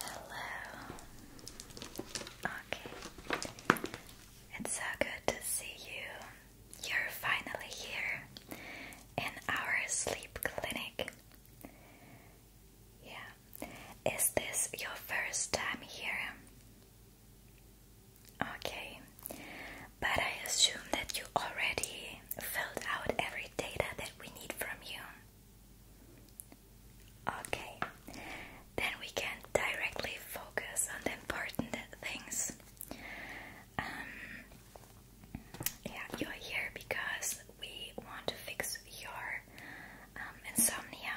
Hello. Okay. It's so good to see you. You're finally here in our sleep clinic. Yeah. Is this your first time here? Okay. But I assume that you already filled out every data that we need from you. Okay. Then we can directly focus on the important things. Um, yeah, you're here because we want to fix your um, insomnia,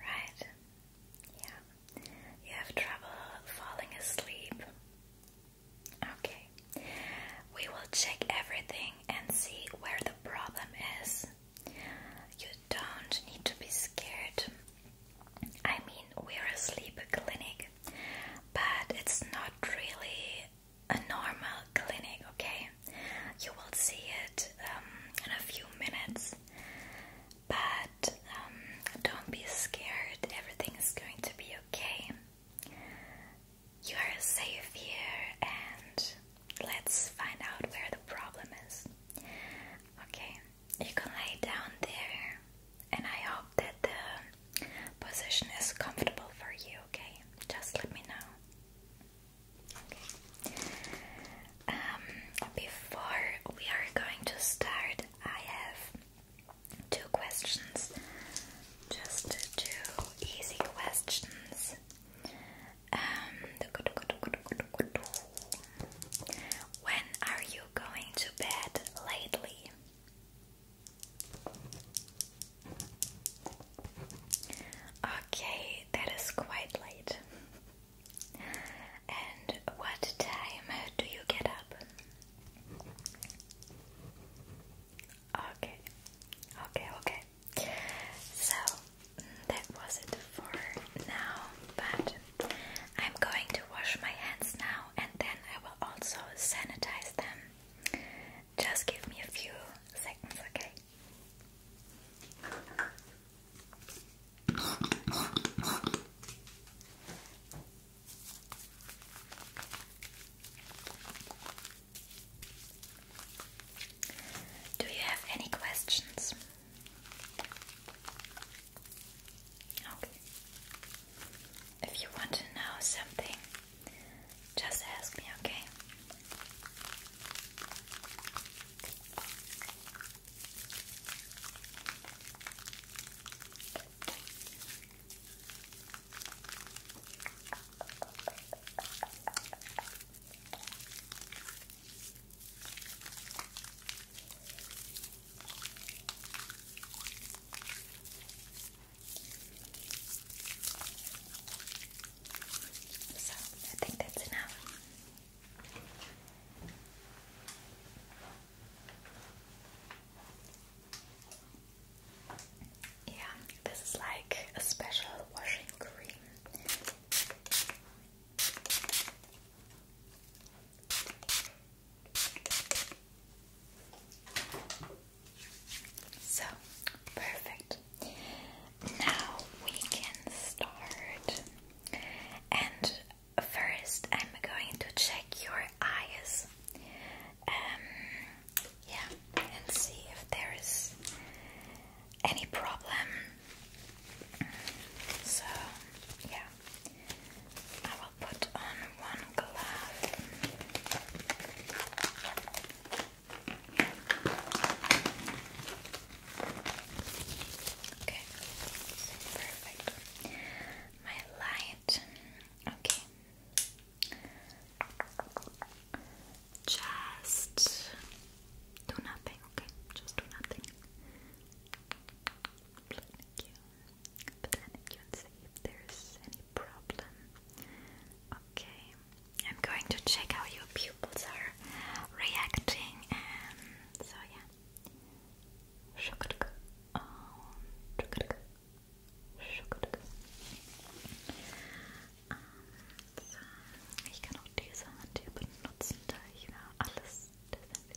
right? Yeah, you have trouble falling asleep. Okay, we will check everything and see where the problem is. You don't need to be scared. I mean, we're a sleep clinic, but it's not really a normal clinic, okay? You will see it um, in a few minutes, but um, don't be scared, everything is going to be okay. You are safe here, and let's find out where the problem is. Okay, you can lay down there, and I hope that the position is comfortable for you, okay? Just let me know. Um, before we are going to start, I have two questions. Just two easy questions. Um, when are you going to bed lately? Okay, that is quite late. And what time do you get up? Okay, okay, okay. So that was it for now, but I'm going to wash my hands now and then I will also sanitize them. Just give me a few seconds, okay? Do you have any questions? Okay if you want to know something, just ask me, okay? So I think that's enough. Yeah, this is like a special washing cream. So, perfect. Now we can start. And first, I'm going to check your eyes. Um, yeah, and see if there is any problem. So, yeah, put on one glove. Okay, perfect. My light. Okay. Just do nothing, okay? Just do nothing. Thank you. But then if there's any problem. Okay, I'm going to check how your pupils are reacting, and so yeah. Um, um, so, ich kann auch diese Hand hier benutzen, da ich ja alles desinfiziert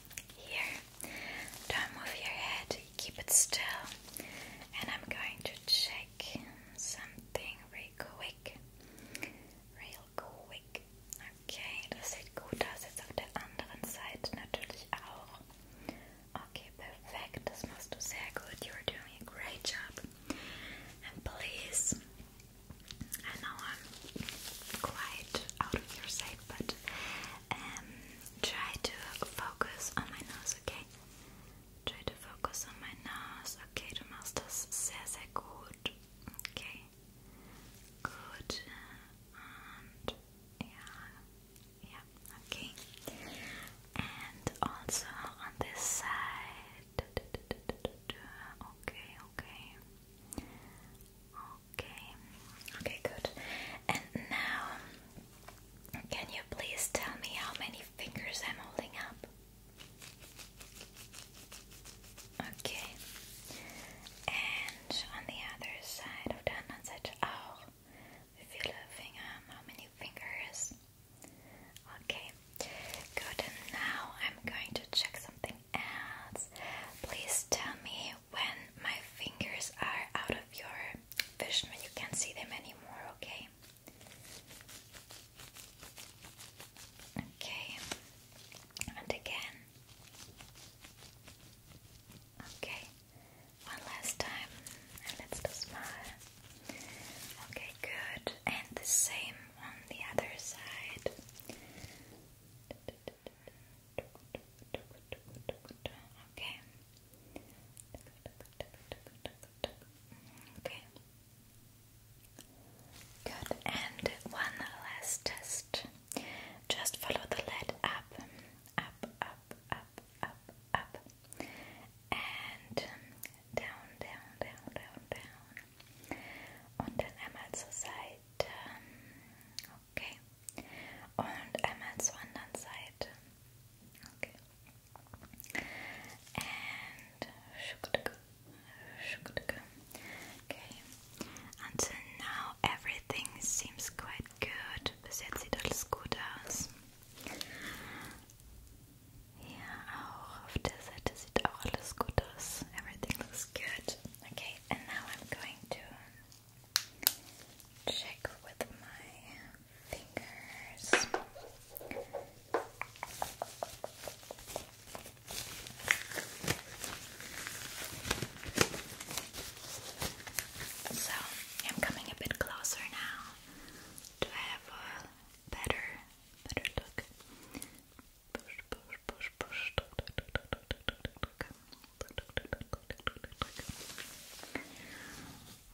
Here, don't move your head, keep it still, and I'm going to check something real quick. Real quick. Okay, das sieht gut aus. Jetzt auf der anderen Seite natürlich auch. Okay, perfekt. Das machst du sehr gut. You're doing a great job. And please, I know I'm quite out of your sight, but um, Try to focus on my nose, okay? Try to focus on my nose, okay? Du machst das sehr, sehr gut, okay? Gut. yeah, yeah, okay. And also on this side, okay, okay. Okay, okay, good. And now, can you please tell me how many fingers I'm holding up? Okay, and on the other side of the anderen Seite auch. Wie viele Finger? How many fingers? Okay, good. And now I'm going to check something else. Please tell me when my fingers are out of your vision, when you can't see them anymore, okay? Okay, and again. Okay, one last time, and let's smile. Okay, good, and the same on the other side. Okay. Okay. Good. And one last test. Just follow the lead up, up, up, up, up, up, and down, down, down, down, down. Und dann einmal zur Seite. Um, Okay. Und einmal zur anderen side, Okay. And Okay. Until now everything seems quite good. Bis jetzt alles gut aus. auch auf der Seite sieht auch alles gut Everything looks good. Okay, and now I'm going to check with my fingers. So, I'm coming a bit closer now to have a better, better look.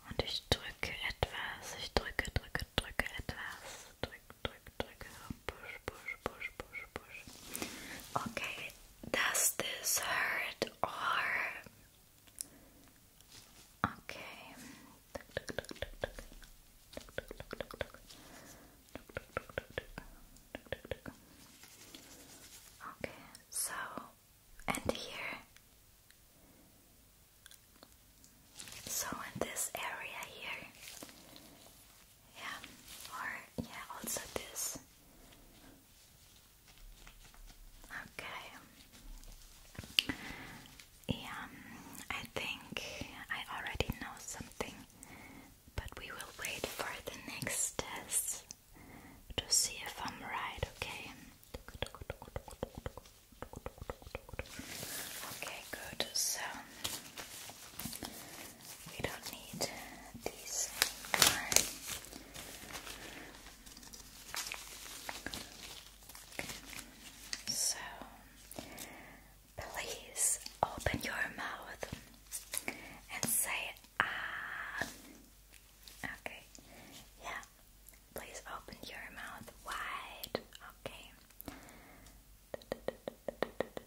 Und ich drücke etwas, ich drücke, drücke, drücke etwas. Drücke, drücke, drücke. Push, push, push, push, push. Okay, does this hurt or. Okay. Okay, so and here. So in this area here. Yeah, or yeah, also this. Okay. Yeah, um, I think I already know something, but we will wait for the next test to see if I'm right, okay? Okay, good. So we don't need these So please open your mouth and say Ah. Okay. Yeah. Please open your mouth wide. Okay.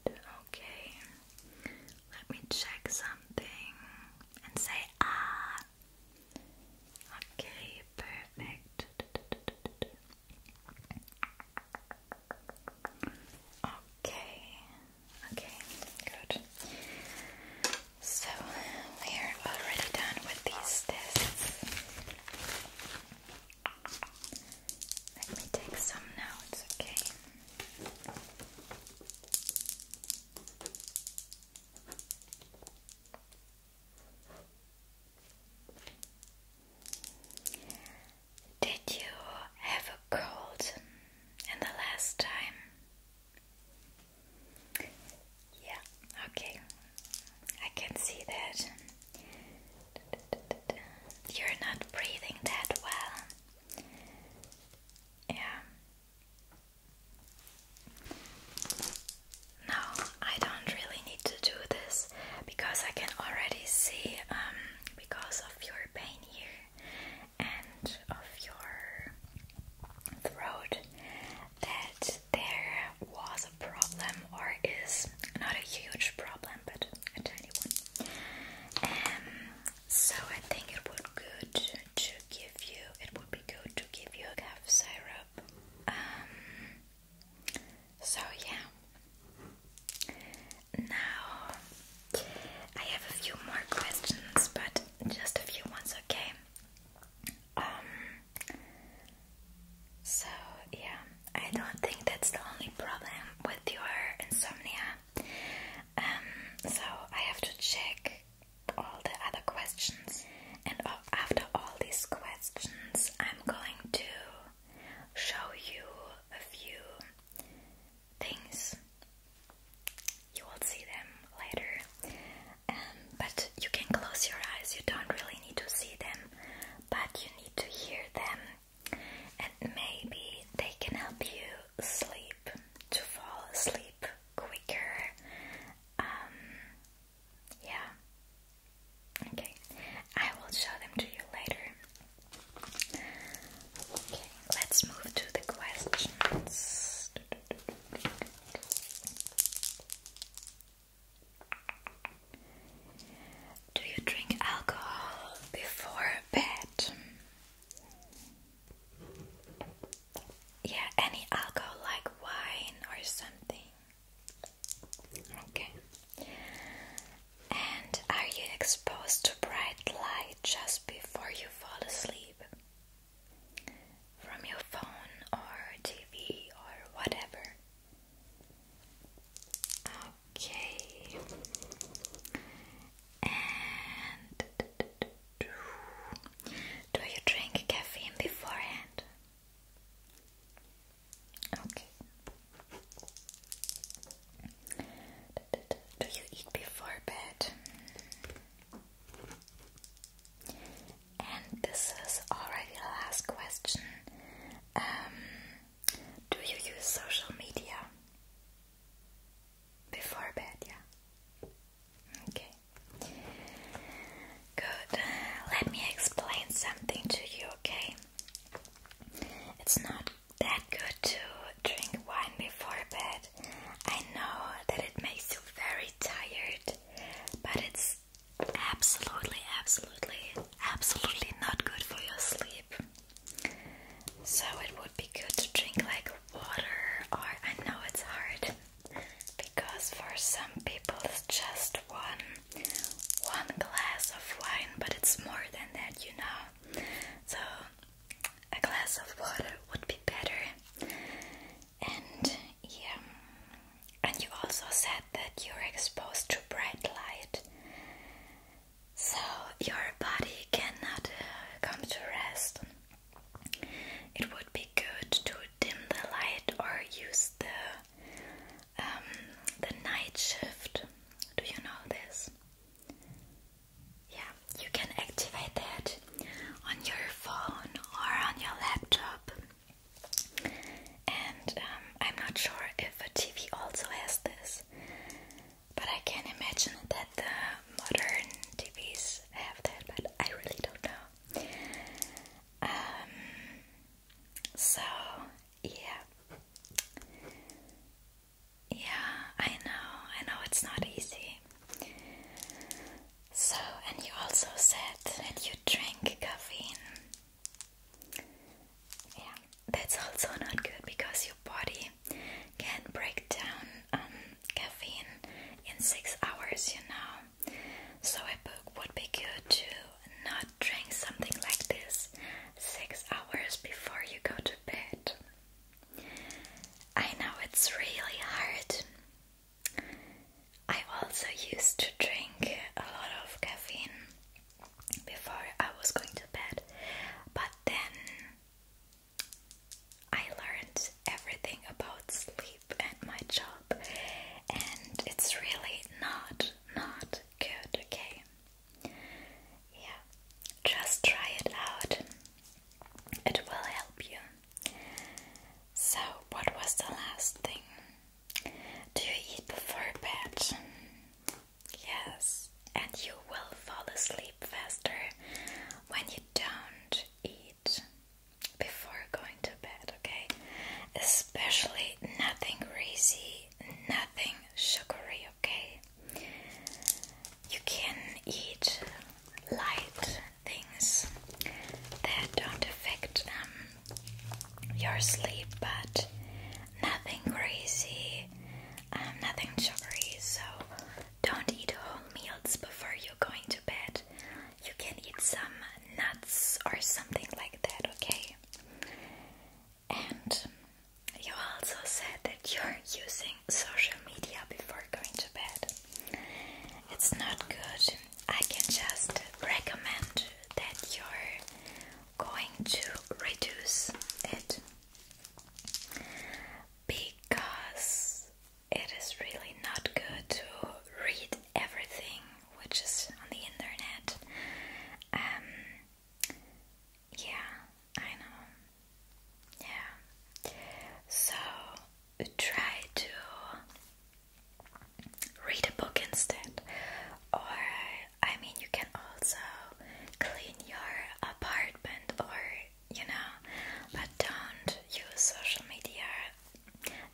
Okay. Let me check something and say ah. Okay, perfect. Okay. Okay, good. So we are already done with these tests. Let me take some notes, okay? Did you have a cold in the last time? Yeah, okay. I can see that. You're not breathing that well. Yeah. No, I don't really need to do this because I can already see um, because of your pain here and of your throat that there was a problem or is not a huge problem but a tiny one. Um, so I think it would be good to give you it would be good to give you a cough syrup. Um, so yeah. Now, I have a few more questions, but just a few ones, okay? Um, so, yeah, I don't think that's the only problem with your insomnia. Um, so I have to check all the other questions, and after all these questions, I'm going to show you a few things. You will see them later. Um, but you can close your eyes, you don't really need to see them, but you need to hear them, and maybe they can help you sleep, to fall asleep quicker. Um, yeah. Okay, I will show them to you later. Okay, let's move to the questions. Do you drink alcohol before bed? Yeah, any alcohol like wine or something. Okay. And are you exposed to bright light just before you fall asleep? From your phone or TV or whatever? Okay. And do you drink caffeine beforehand? Okay. Do you eat before bed? And this is already the last question. Um, do you use social media before bed? Yeah. Okay. Good. Let me explain something to you, okay? It's not that good to drink wine before bed. I know that it makes you very tired, but it's absolutely, absolutely, absolutely not good for your sleep. So it would be good to drink like water, or I know it's hard because for some people it's just one one glass of wine, but it's more than that, you know. So a glass of water would be better. And yeah, and you also said that you're exposed to bright light, so your body cannot uh, come to rest. It would be good to dim the light or use the um, the night shift. Do you know this? Yeah, you can activate that on your phone or on your laptop. And um, I'm not sure if a TV also has this, but I can imagine that the modern TVs have that, but I really don't know. Um, so, yeah. Yeah, I know, I know it's not easy. So, and you also said that you drink caffeine. Yeah, that's also not good because your body can break down um, caffeine in six hours, you know. So, a would be good to not drink something like this six hours before you go to bed. I know it's really hard. I also used to drink a lot of caffeine before I was going to bed, but then I learned everything about sleep and my job, and it's really not, not good, okay? Yeah, just try it out, it will help you. So, what was the last thing? Do you eat before bed? Yes, and you will fall asleep faster when you don't eat before going to bed, okay? Especially nothing greasy, nothing sugary, okay? You can eat light things that don't affect um, your sleep, but nothing crazy, um, nothing sugary. So don't eat whole meals before you're going to bed. You can eat some nuts or something like that, okay? And you also said that you're using social media before going to bed. It's not good. I can just recommend that you're going to reduce it because it is really not good to read everything which is on the internet. Um, yeah, I know. Yeah. So try to read a book instead. Or, I mean, you can also clean your apartment or, you know, but don't use social media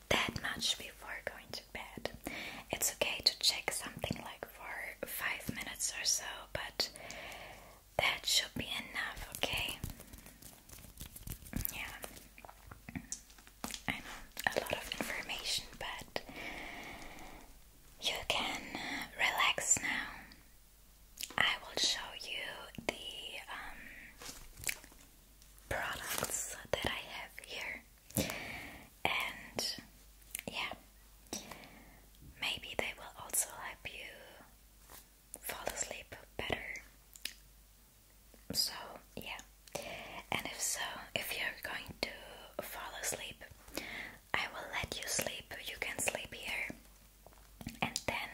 that much before going to bed. It's okay to check something like for five minutes or so, but that should be enough, okay? Yeah, I know a lot of information, but you can relax now. I will show you the um, products that I have here and yeah, maybe they will also help you fall asleep better. So, yeah, and if so, if you're going to fall asleep, I will let you sleep. You can sleep here, and then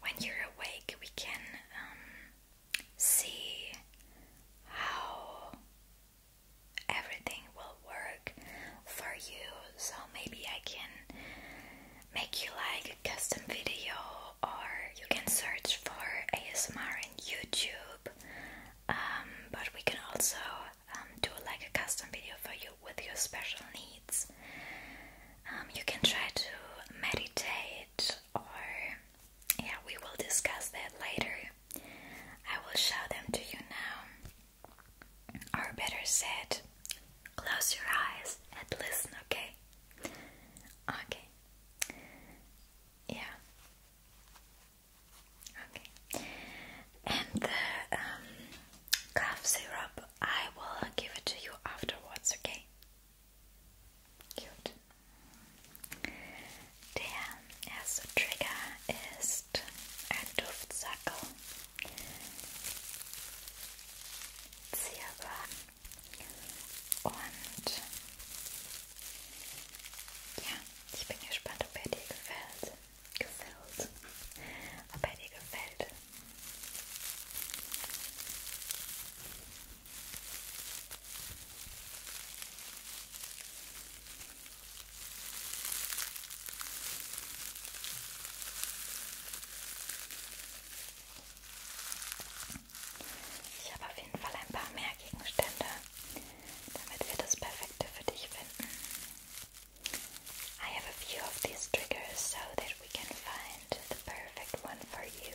when you're awake, we can um, see how everything will work for you. So maybe I can make you like a custom video, or you can search for ASMR in YouTube. Um, but we can also um, do like a custom video for you with your special needs. Um, you can try to meditate, or yeah, we will discuss that later. I will show them to you now. Or better said, close your eyes and listen, okay? Okay. Yeah. Okay. And the um, cough syrup, I will give it to you afterwards, okay? Cute. Dear erste Trigger ist ein Duftsackel. Zierbar und ja, ich bin gespannt, ob er dir gefällt. Gefällt. Ob er dir gefällt. Ja, ich habe auf jeden Fall ein paar mehr Gegenstände, damit wir das Perfekte für dich finden. I have a few of these triggers so that we can find the perfect one for you.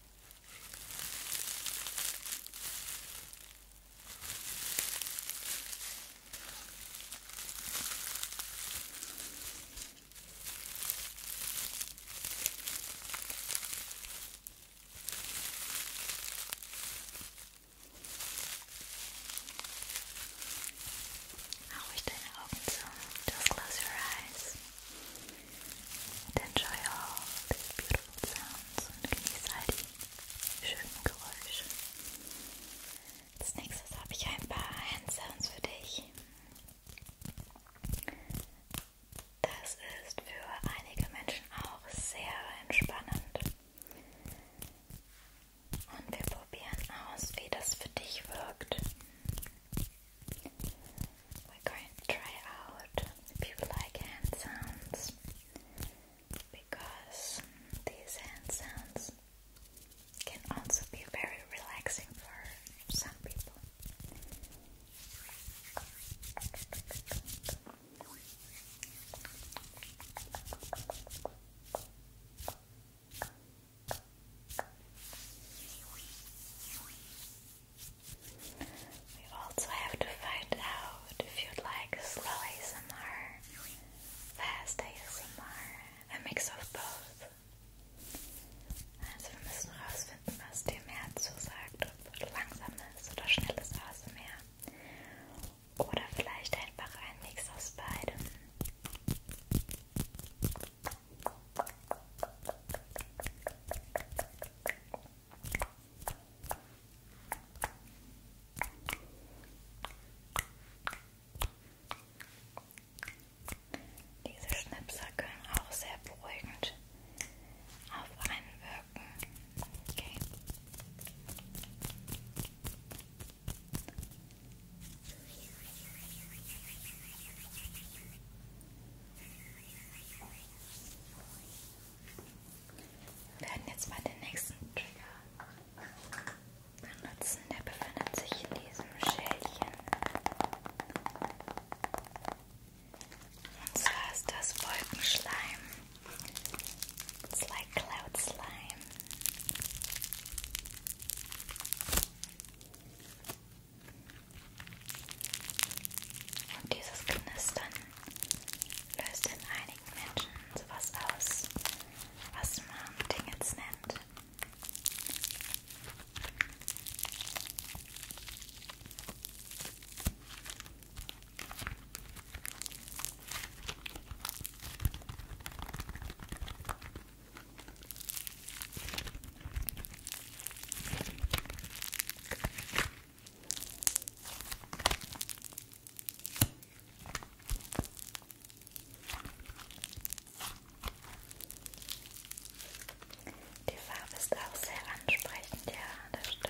I wish deine Augen zu, du hast close your eyes. Und enjoy all these beautiful sounds und genieße all die schönen Geräusche. Als nächstes habe ich ein paar Handsounds für dich. Das ist für einige Menschen auch sehr entspannend. Und wir probieren aus, wie das für dich wirkt. we're going to try out if you like hand sounds because these hand sounds can also be very relaxing for some people. We also have to find out if you like slow ASMR, fast ASMR, a mix of both. Also wir müssen rausfinden, was dir mehr zusagt, ob langsames oder schnelles ASMR. Oder vielleicht einfach ein Mix aus beidem. Diese Schnipser können auch sehr beruhigend auf einen wirken. Okay. Wir werden jetzt mal den nächsten Trigger benutzen. Der befindet sich in diesem Schälchen. Und zwar ist das Wolkenschleim. It's like cloud slime. Und dieses Knistern löst in einigen Menschen sowas aus, was man Dingets nennt. Die Farbe ist auch sehr ansprechend, ja, das stimmt.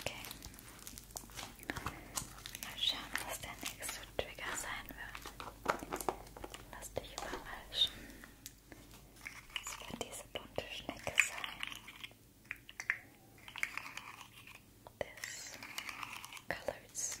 Okay. Mal schauen, was der nächste Trigger sein wird. Lass dich überraschen. Es wird diese bunte Schnecke sein. this colored snail.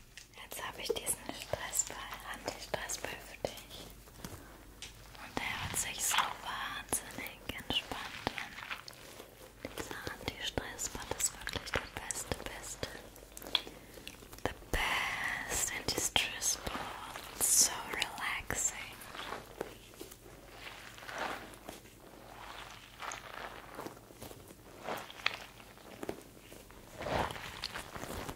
Jetzt habe ich diesen Stressball, Anti-Stressball für dich. Und der hört sich so wahnsinnig entspannt an. Dieser Anti-Stressball ist wirklich der beste, beste. The best Anti-Stressball. So relaxing.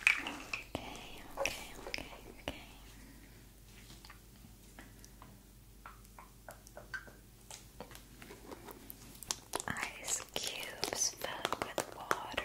Okay, okay, okay, okay. Ice cubes filled with water.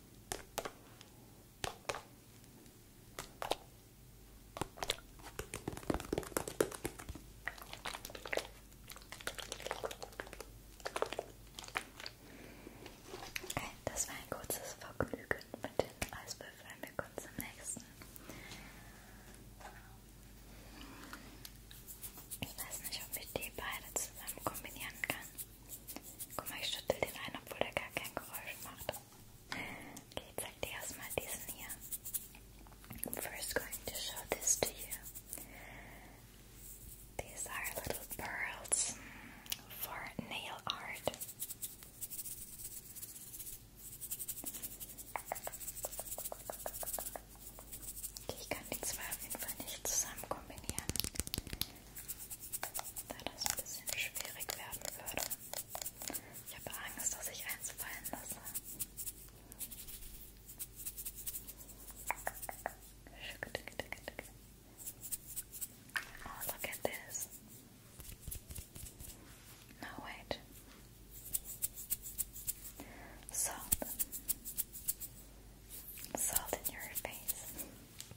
Okay, das war ein kurzes Vergnügen mit den Eiswürfeln. Wir kommen zum nächsten. Ich weiß nicht, ob ich die beide zusammen kombinieren kann. Guck mal, ich schüttel den ein, obwohl der gar kein Geräusch macht. Okay, ich zeig dir erstmal diesen hier. I'm first going to show this to you. These are little pearls for nail art. Okay, ich kann die zwei auf jeden Fall nicht zusammen kombinieren da das ein bisschen schwierig werden würde. Ich habe Angst, dass ich eins fallen lasse. Oh, look at this. No, wait. Salt. Salt in your face.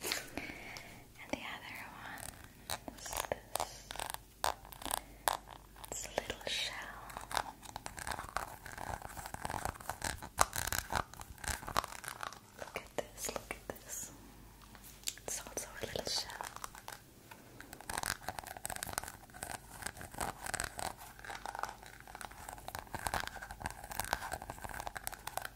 And the other one is this. little shell. Look at this, look at this. It's also a little shell.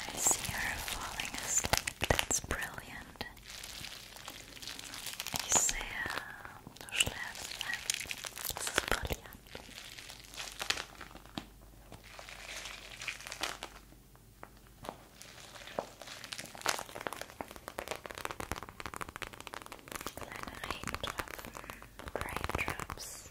I see her falling asleep, that's brilliant. Ich sehe, du schläfst ein, das ist brillant. Kleine Regentropfen, Raindrops.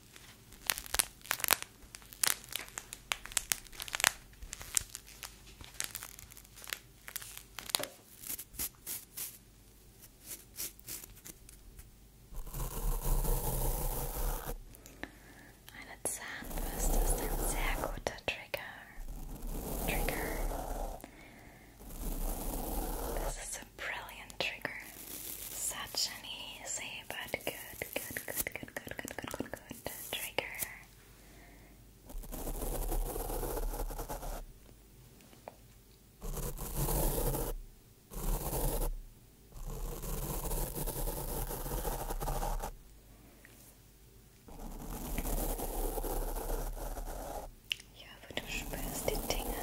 Eine Zahnbürste ist ein sehr guter Trigger. Trigger. Das ist It's a brilliant trigger. Such an easy but good, good, good, good, good, good, good, good, good, good trigger. Ja, aber du spürst die Dinge.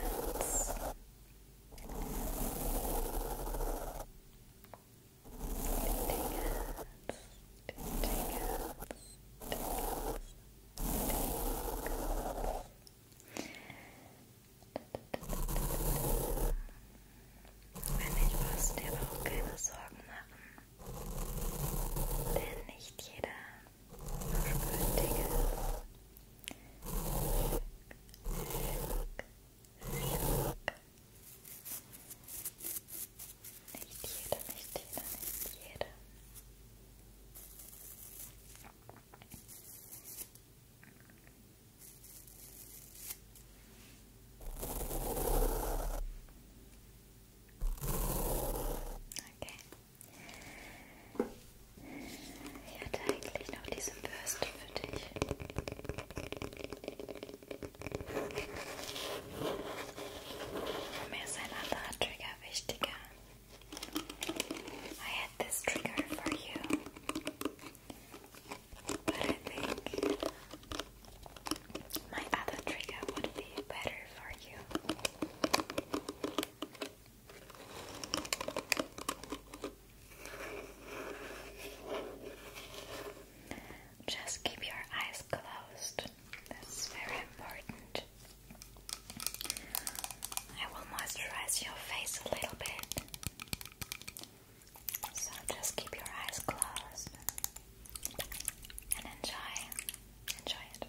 Wenn nicht, brauchst du dir aber auch keine Sorgen machen. Denn nicht jeder verspürt Dinge, Nicht jeder, nicht jeder, nicht jeder. Okay. Ich hatte eigentlich noch Trigger wichtiger. I had this trigger for you. But I think my other trigger would be better for you. Just keep your eyes closed. That's very important. I will moisturize your face a little bit. So just keep your eyes closed and enjoy. Enjoy it.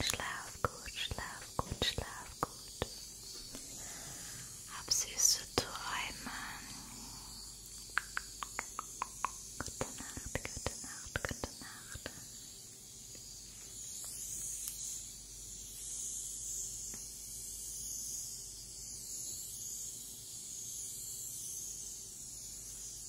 Schlaf gut, schlaf gut, schlaf gut. Hab süße Träume. Gute Nacht, gute Nacht, gute Nacht.